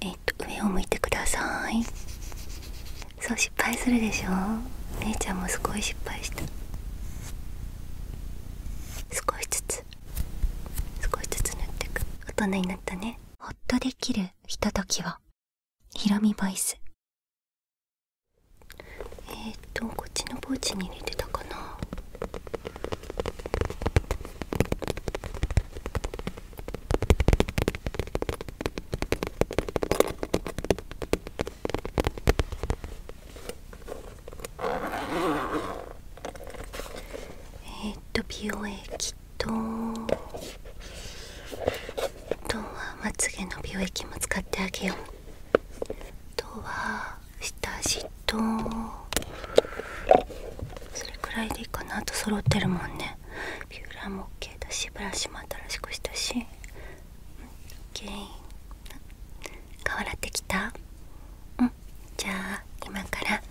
えっと上を向いてくださいそう失敗するでしょ姉ちゃんもすごい失敗した少しずつ少しずつ塗ってく大人になったねほっとできるひとときは。ひろみボイスえっとこっちのポーチに入れてたかなえっと美容液とあとはまつげの美容液も使ってあげようあとは下地とそれくらいでいいかなあと揃ってるもんねピューラーも OK だしブラシも新しくしたし、うん、OK 顔洗ってきたうんじゃあ今から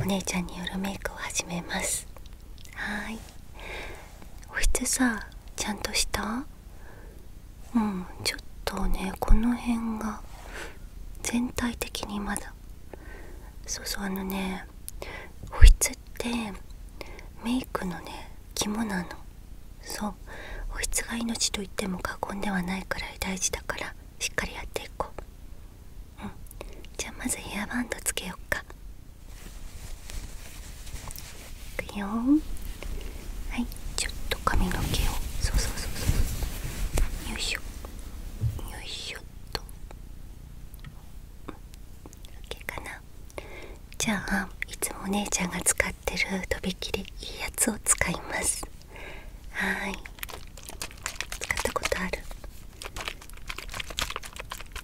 お姉ちゃんによるメイクを始めますはい保湿さちゃんとしたうんちょっとねこの辺が全体的にまだそうそうあのね保湿ってメイクのね肝なのそう保湿が命と言っても過言ではないくらい大事だからしっかりやっていこううんじゃあまずヘアバンドつけよっかいくよはいちょっと髪の毛をそうそうそうそうよいしょよいしょと OK かなじゃあいつもお姉ちゃんが使ってるとびきりいいやつを使いますはい使ったことある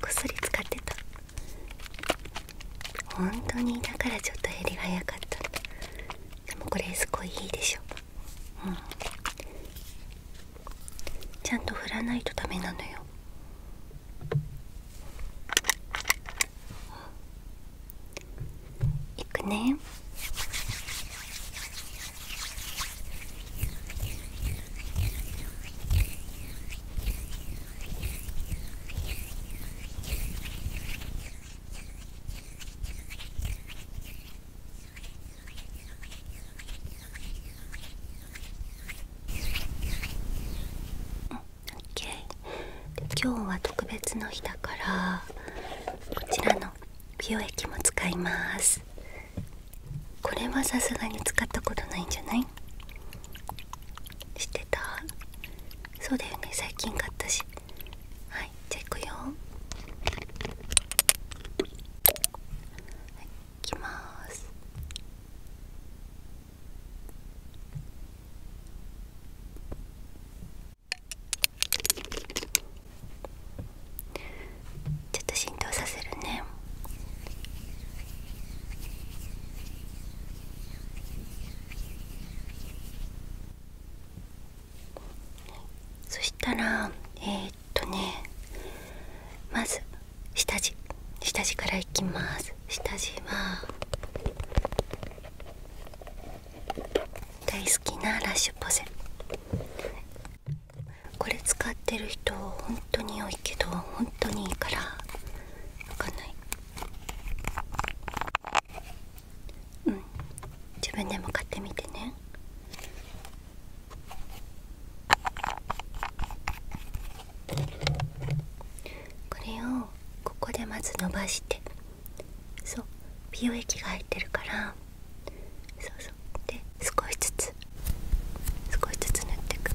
こっそり使ってた本当にだからちょっと減が早かったでもこれすごいいいでしょうんちゃんと振らないとダメなのよ行くね今日は特別の日だからこちらの美容液も使いますこれはさすがに使ったことないんじゃない知ってたそうだよね最近買ったしはいじゃあいくよきますちょっと浸透させるねそしたらえっ、ー、とねまず下地下地からいきます下地は大好きなラッシュポゼこれ使ってる人本当に多いけど本当にいいから分かんないうん自分でも買ってみてねこれをここでまず伸ばしてそう美容液が入ってるからそうそうで少しずつ少しずつ塗ってくち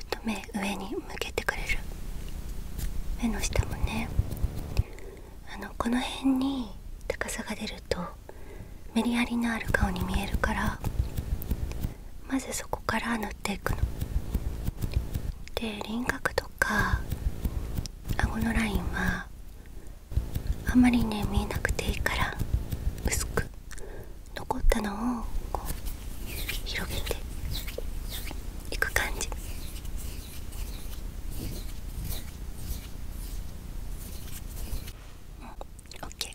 ょっと目上に向けてくれる目の下もねあのこの辺に高さが出るとメリハリのある顔に見えるからまずそこから塗っていくので輪郭とか顎のラインはあんまりね見えなくていいから薄く残ったのをこう広げていく感じ OK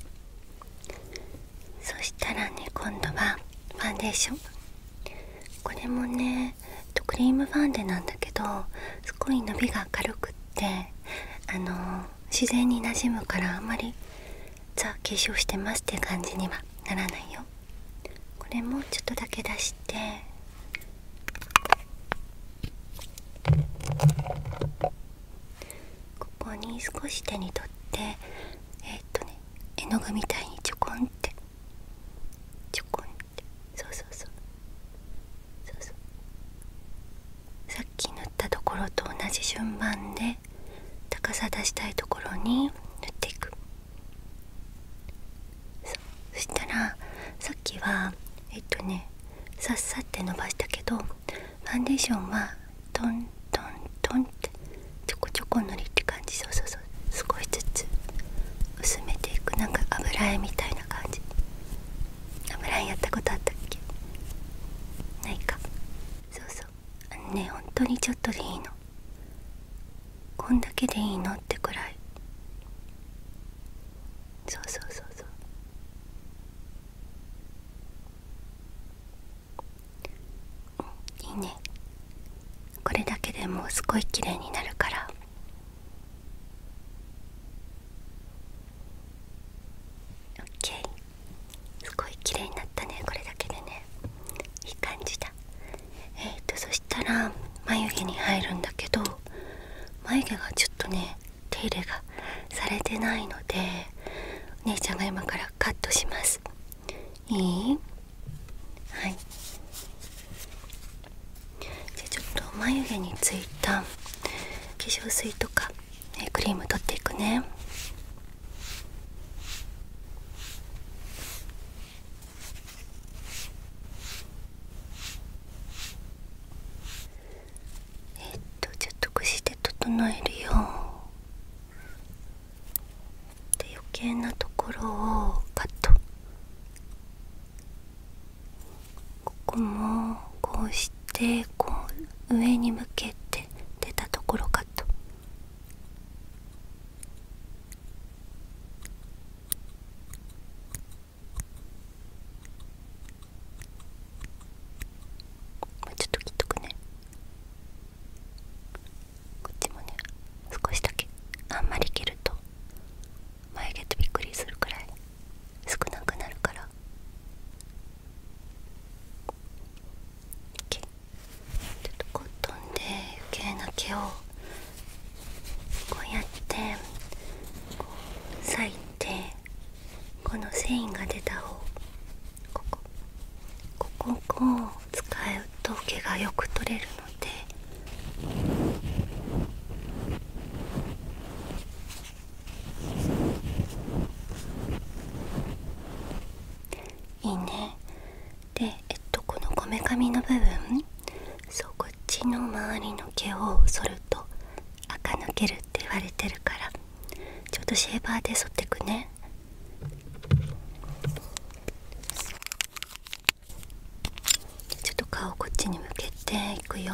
そしたらね今度はファンデーションこれもねクリームファンデなんだけどすごい伸びが軽くってあの自然になじむからあんまりザ化粧してますって感じにはならないよ。これもちょっとだけ出してここに少し手に取ってえっとね絵の具みたいにちょこんってちょこんってそうそうそうそうそうさっき塗ったところと同じ順番で高さ出したいところに塗っていく。そしたらさっきはえっとねさっさって伸ばしたけどファンデーションはトントントンってちょこちょこ塗りって感じそうそうそう少しずつ薄めていくなんか油絵みたいな感じ油絵やったことあったっけないかそうそうあのね本当にちょっとでいいのこんだけでいいのってくらいそうそうそうそういいねこれだけでもうすごい綺麗になるからオッケーすごい綺麗になったねこれだけでねいい感じだえっとそしたら眉毛に入るんだけど眉毛がちょっとね手入れがされてないのでお姉ちゃんが今からカットしますいいはいじゃあちょっと眉毛についた化粧水とか、えクリーム取っていくねえっとちょっとして整えるよで余計なところをカットここもこうしてこう上に向けて出たところカットもうちょっと切っとくねこっちもね少しだけあんまり切ると眉毛とびっくりするくらい少なくなるから OK ちょっとコットンで余計な毛をこうやってこう裂いてこの繊維が出た方ここここを使うと毛がよく取れるのでいいねでえっとこのこめかみの部分そうこっちの周りの毛を剃ると垢抜けるって言われてるからちょっとシェーバーで剃ってくねちょっと顔こっちに向けていくよ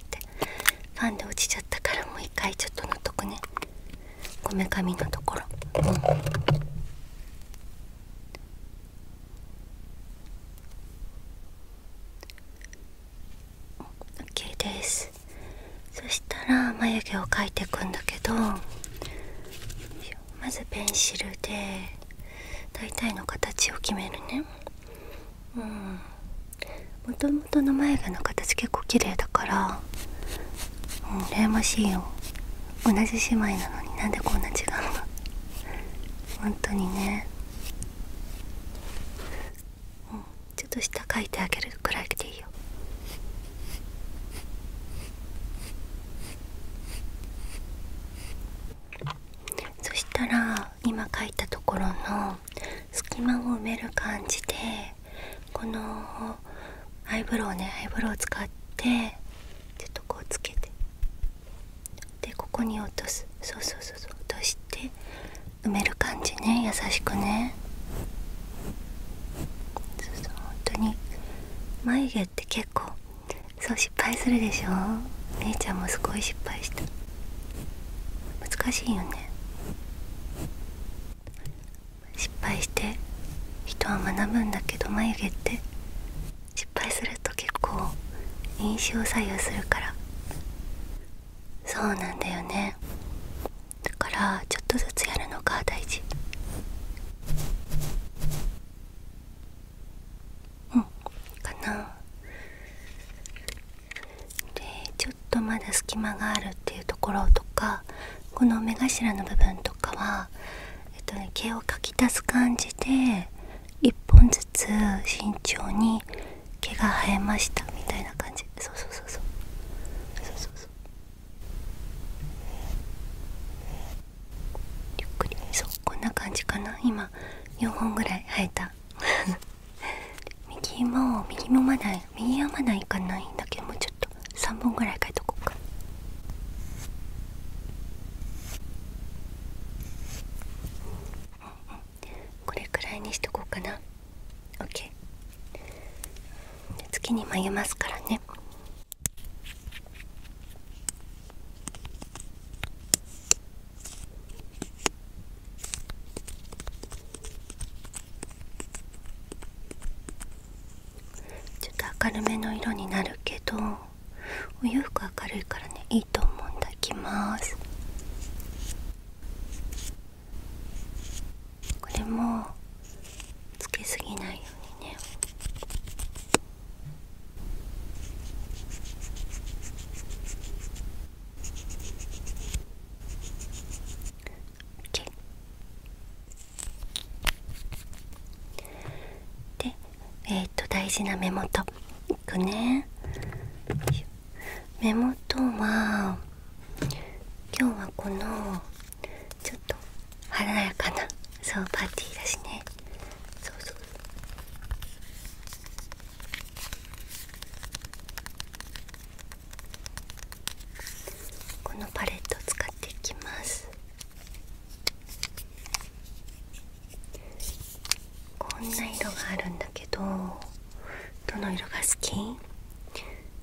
えてファンで落ちちゃったからもう一回ちょっと塗っとくねこめかみのところうんオッケーですそしたら眉毛を描いていくんだけどまずペンシルで大体の形を決めるねうんもともとの眉毛の形結構綺麗だからうん羨ましいよ同じ姉妹なのになんでこんな違うの本当にね、うん、ちょっと下描いてあげるくらいでいいよそしたら今描いたところの隙間を埋める感じでこのアイブロウねアイブロウを使ってちょっとこうつけてでここに落とすそうそうそうそう落として埋める感じね優しくねそうそう本当に眉毛って結構そう失敗するでしょ姉ちゃんもすごい失敗した。難しいよね失敗して人は学ぶんだけど眉毛って失敗すると結構印象左右するからそうなんだよねだからちょっとずつやるのが大事うんかなでちょっとまだ隙間があるっていうところとかこの目頭の部分とかは、えっとね、毛をかき足す感じで1本ずつ慎重に毛が生えましたみたいな感じそうそうそうそうそうそうそうゆっくりそうこんな感じかな今4本ぐらい生えた右も右もまない、右はまないかないんだけどもうちょっと3本ぐらい書いとこうかこれくらいにしとこうかな OK 月に眉ますからねちょっと明るめの色になるけどお洋服明るいからねいいと思うんだいきますこれもつけすぎないようにね OK でえっ、と大事な目元いくね目元は今日はこのちょっと華やかなそうパーティーだしねそうそうこのパレットを使っていきますこんな色があるんだけどどの色が好き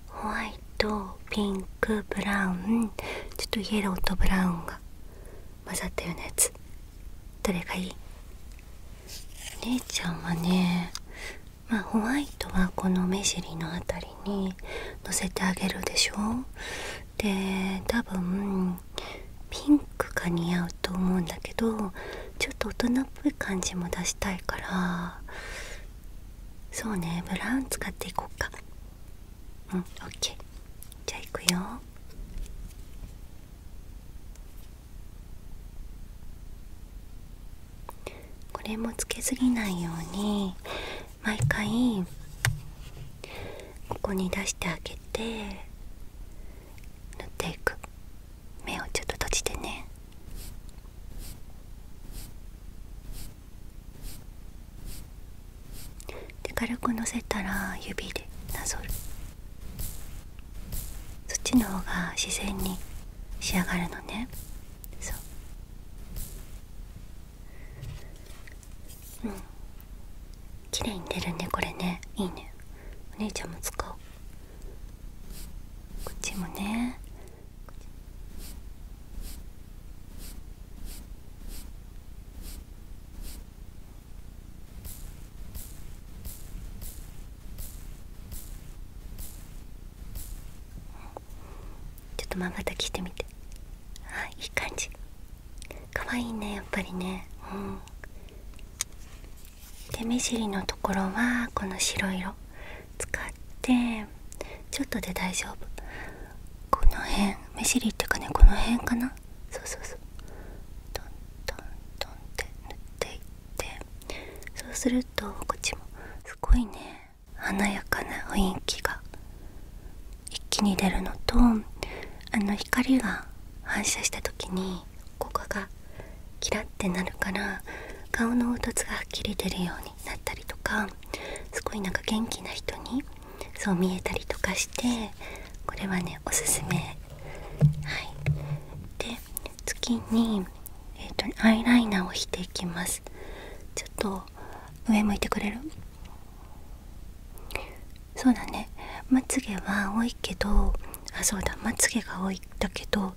ホワイトピンクブラウンちょっとイエローとブラウンが混ざったようなやつどれがいい姉ちゃんはねまホワイトはこの目尻の辺りにのせてあげるでしょで多分ピンクが似合うと思うんだけどちょっと大人っぽい感じも出したいからそうねブラウン使っていこうかうんオッケーじゃあいくよこれもつけすぎないように毎回ここに出してあげて塗っていく目をちょっと閉じてねで軽くのせたら指でなぞる。そっちの方が自然に仕上がるのねそううん綺麗に出るねこれねいいねお姉ちゃんも使おうこっちもねちょっとまばたきしてみてあいい感じかわいいねやっぱりねうんで目尻のところはこの白色使ってちょっとで大丈夫この辺目尻っていうかねこの辺かなそうそうそうトントントンって塗っていっっそうするとこっちもすごいね華やかな雰囲気が一気に出るのとあの光が反射した時にここがキラッてなるから顔の凹凸がはっきり出るようになったりとかすごいなんか元気な人にそう見えたりとかしてこれはねおすすめはい次に、えーと、アイライナーを引ていきますちょっと上向いてくれるそうだねまつげは多いけどあそうだまつげが多いんだけど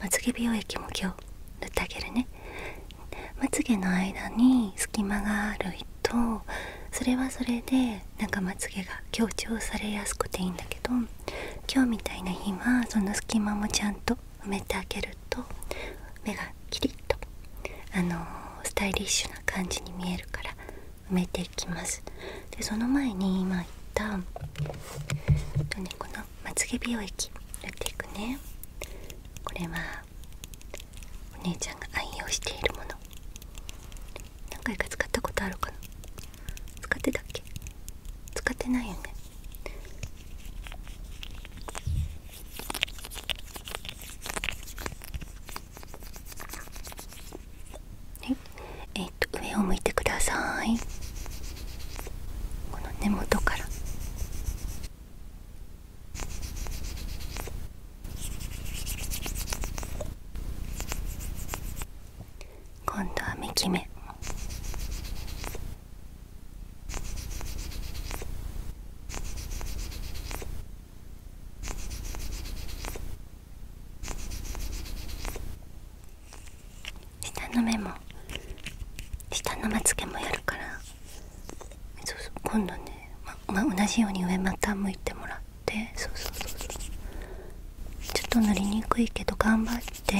まつげ美容液も今日塗ってあげるねまつげの間に隙間があるとそれはそれでなんかまつげが強調されやすくていいんだけど今日みたいな日はその隙間もちゃんと埋めてあげると目がキリッとあのスタイリッシュな感じに見えるから埋めていきますでその前に今言った、えっこのまつげ美容液塗っていくねこれはお姉ちゃんが愛用しているもの何回か使ったことあるかな使ってたっけ使ってないよねはいえっと上を向いてくださいこの根元から今度は3き目下の目も下のまつげもやるからそうそう今度ね、まま、同じように上また向いてもらってそうそうそうそうちょっと塗りにくいけど頑張ってし生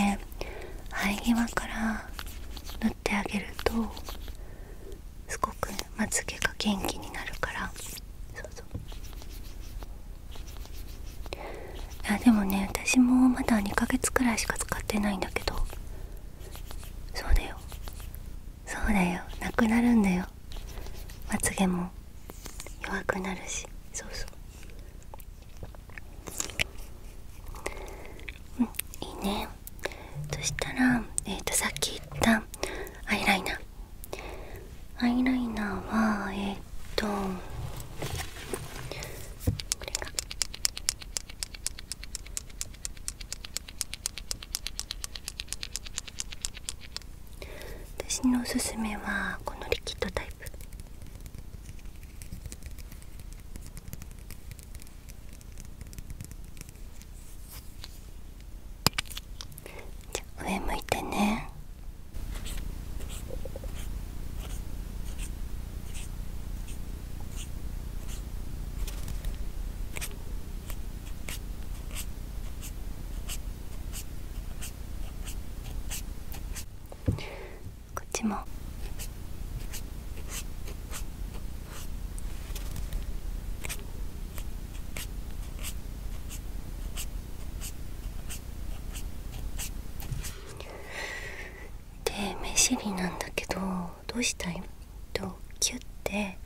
え際から塗ってあげるとすごくまつげが元気になるからそうそういやでもね私もまだ2ヶ月くらいしか使ってないんだけどそうだよそうだよなくなるんだよまつげも弱くなるしそうそういいねそしたらえっ、とさっき言ったアイライナーアイライナーはえっ、とこれが私のおすすめはこのリキッドタイプ上向いてねこっちもで目尻なんだけどどうしたいとキュッて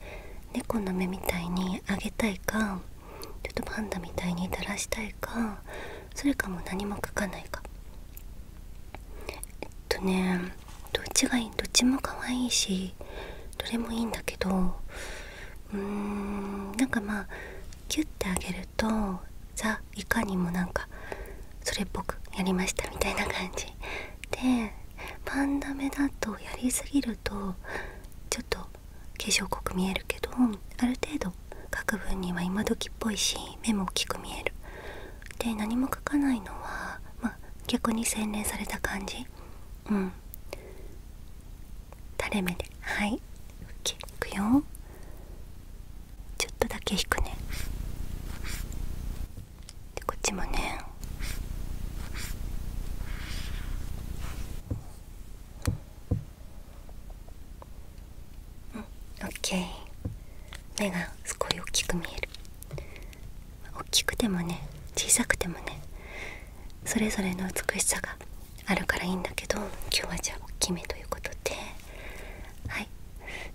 猫の目みたいに上げたいかちょっとパンダみたいにだらしたいかそれかも何も書かないかえっとねどっちがいいどっちも可愛いしどれもいいんだけどうんなんかまあキュッてあげるとザいかにもなんかそれっぽくやりましたみたいな感じでパンダ目だとやりすぎるとちょっと化粧濃く見えるけどある程度書く分には今時っぽいし目も大きく見えるで何も書かないのは、まあ、逆に洗練された感じうん垂れ目ではいいくよちょっとだけ引くねでこっちもねうんオッケー目がすごい大きく見える大きくてもね小さくてもねそれぞれの美しさがあるからいいんだけど今日はじゃあ大きめということではい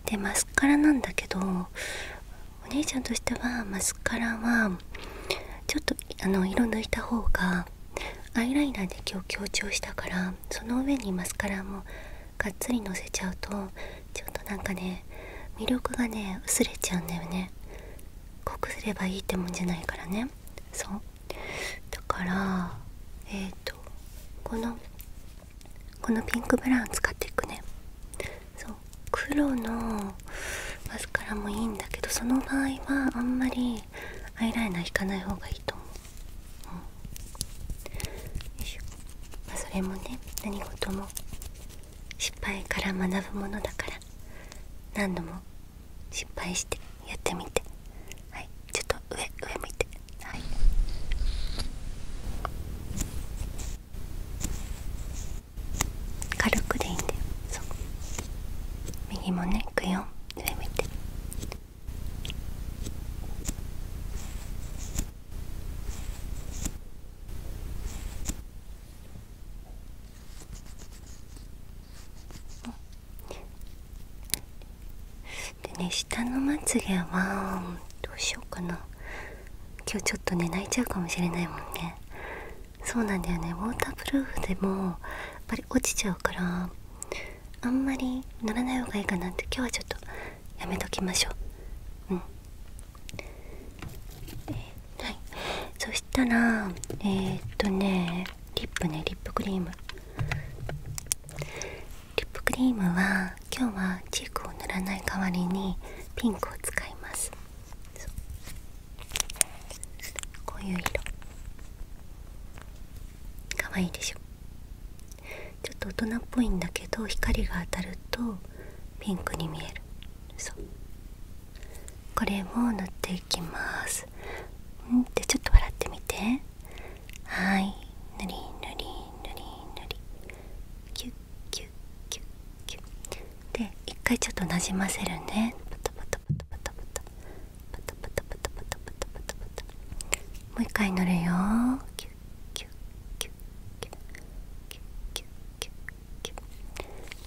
でマスカラなんだけどお姉ちゃんとしてはマスカラはちょっとあの色抜いた方がアイライナーで今日強調したからその上にマスカラもがっつりのせちゃうとちょっとなんかね魅力がね薄れちゃうんだよね濃くすればいいってもんじゃないからねそうだからえっ、とこのこのピンクブラウン使っていくねそう黒のマスカラもいいんだけどその場合はあんまりアイライナー引かない方がいいと思ううん、よいしょまあそれもね何事も失敗から学ぶものだから何度も失敗してやってみてはいちょっと上上見てはい軽くでいいんだよそう右もねいくよ上見てでね下のまつげはどうしようかな今日ちょっとね泣いちゃうかもしれないもんねそうなんだよねウォータープルーフでもやっぱり落ちちゃうからあんまり塗らない方がいいかなって今日はちょっとやめときましょううんはいそしたらえっとねリップねリップクリームリップクリームは今日はチークを塗らない代わりにピンクを使いますこういう色かわいいでしょちょっと大人っぽいんだけど光が当たるとピンクに見えるそうこれも塗っていきますんっちょっと笑ってみてはい塗り塗り塗り塗りキュッキュッキュッキュッで一回ちょっとなじませるねパタパタパタパタパタパタパタパタパタパタパタパタもう一回乗るよ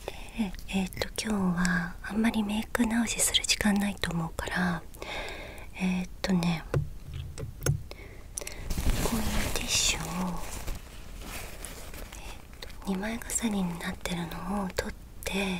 でえっ、ー、と今日はあんまりメイク直しする時間ないと思うからえっ、とねこういうティッシュを、2枚重ねになってるのを取って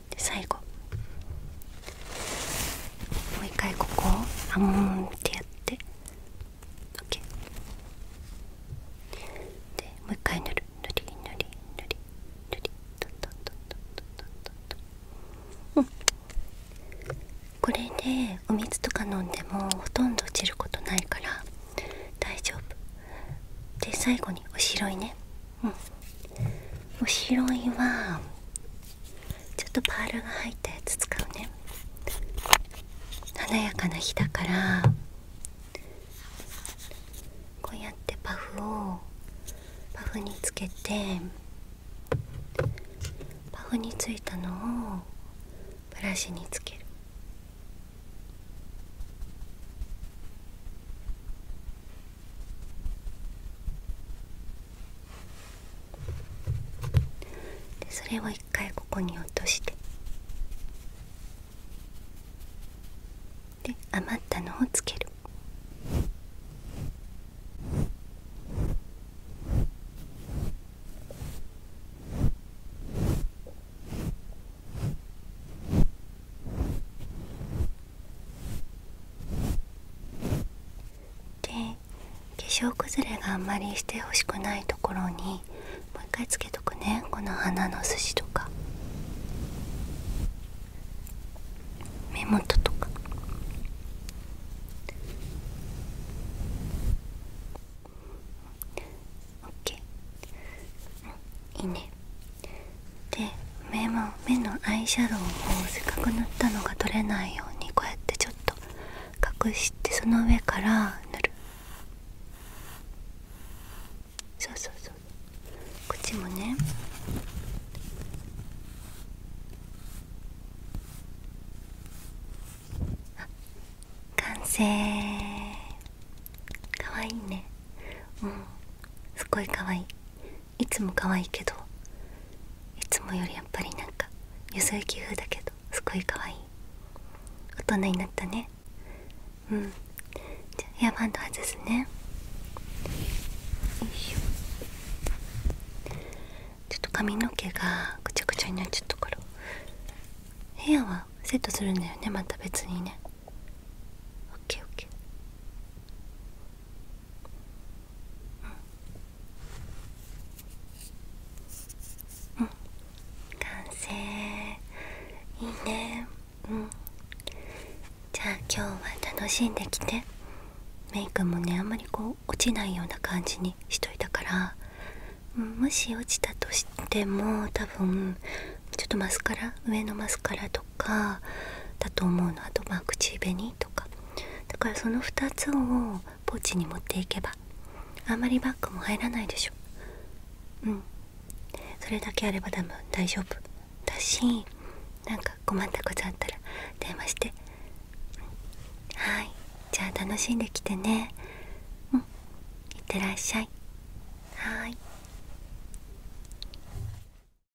最後もう一回ここをあんってやって OK でもう一回塗る塗り塗り塗り塗りトントントントントントントンうんこれでお水とか飲んでもほとんど落ちることないから大丈夫で最後におしろいねうん後ろいはちょっとパールが入ったやつ使うね華やかな日だからこうやってパフをパフにつけてパフについたのをブラシにつける。でそれを一回ここに落としてで余ったのをつけるで化粧崩れがあんまりしてほしくないところにもう一回つけとくねこの花の筋とか目元とかオッケーいいねで目も目のアイシャドウをせっかく塗ったのが取れないようにこうやってちょっと隠してその上から塗るそうそうそうこっちもねあ完成かわいいねうんすっごいかわいいいつも可愛いけどいつもよりやっぱりなんかゆそ行き風だけどすごいかわいい。大人になったねうんじゃヘアバンド外すねよいしょちょっと髪の毛がぐちゃぐちゃになっちゃったからヘアはセットするんだよねまた別にねオッケー、オッケー。うん、うん、完成いいねうんじゃあ今日は楽しんできてメイクもねあんまりこう落ちないような感じにしといたから、もし落ちたとしても多分ちょっとマスカラ上のマスカラとかだと思うのあとまあ口紅とか。とかだからその2つをポーチに持っていけばあんまりバッグも入らないでしょうんそれだけあれば多分大丈夫だしなんか困ったことあったら電話して、ん、はいじゃあ楽しんできてねうんいってらっしゃいはい